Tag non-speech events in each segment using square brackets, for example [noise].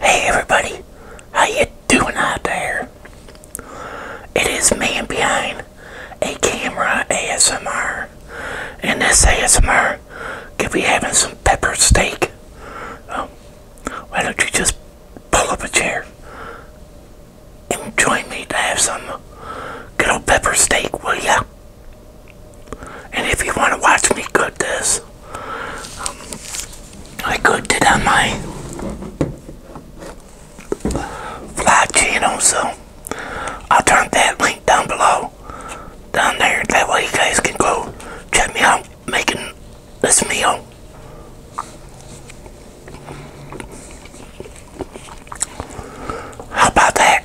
Hey everybody, how you doing out there? It is man behind a camera ASMR. and this ASMR could be having some pepper steak. Um, why don't you just pull up a chair and join me to have some good old pepper steak, will ya? And if you want to watch me cook this, um, I cooked it on my vlog channel, so I'll turn that link down below, down there. That way you guys can go check me out making this meal. How about that?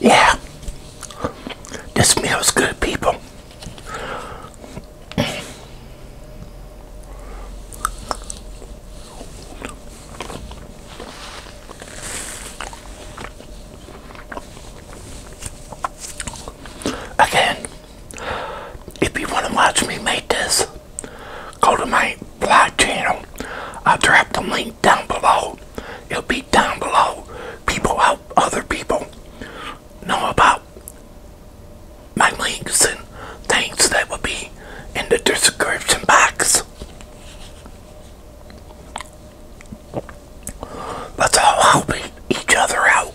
Yeah, this smells good, people. Again, if you want to watch me make this, go to my vlog channel. I'll drop the link down below. It'll be down below. People help other people know about my links and things that will be in the description box. Let's all help each other out.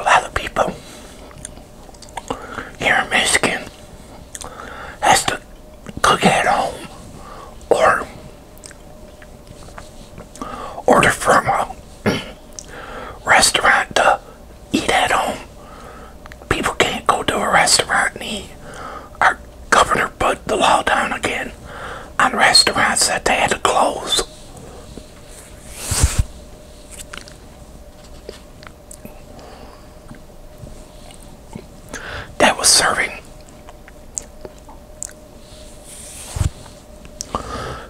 A lot of people here in Michigan has to cook at home or order from a [clears throat] restaurant to eat at home. People can't go to a restaurant and eat governor put the law down again on restaurants that they had to close. That was serving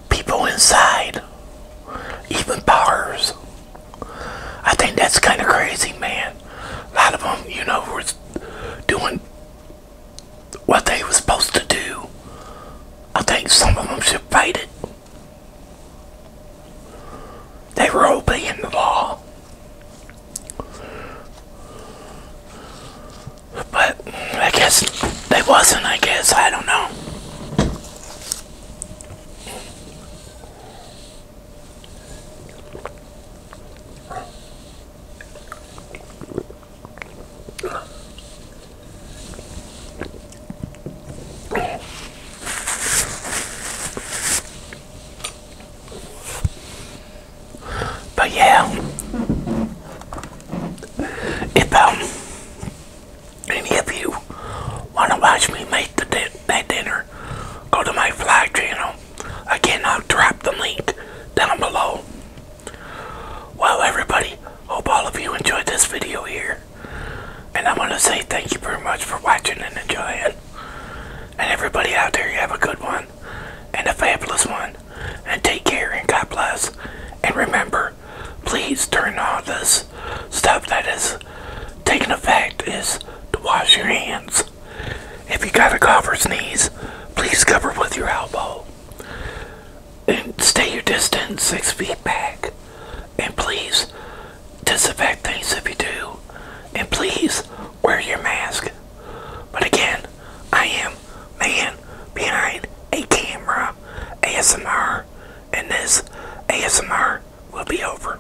people inside, even bars. I think that's kind of crazy, man. A lot of them, you know, were doing what they were supposed to do. I think some of them should fight it. They were obeying the law. But I guess they wasn't, I guess. I don't know. But yeah, if um, any of you want to watch me make the that dinner, go to my vlog channel. Again, I'll drop the link down below. Well, everybody, hope all of you enjoyed this video here. And I want to say thank you very much for watching and enjoying. And everybody out there, you have a good one and a fabulous one. And take care and God bless. And remember, please turn all this stuff that is taking effect is to wash your hands. If you got a cough or sneeze, please cover with your elbow. And stay your distance six feet back. And please disinfect things if you do. And please wear your mask. But again, I am man behind a camera ASMR and this ASMR will be over.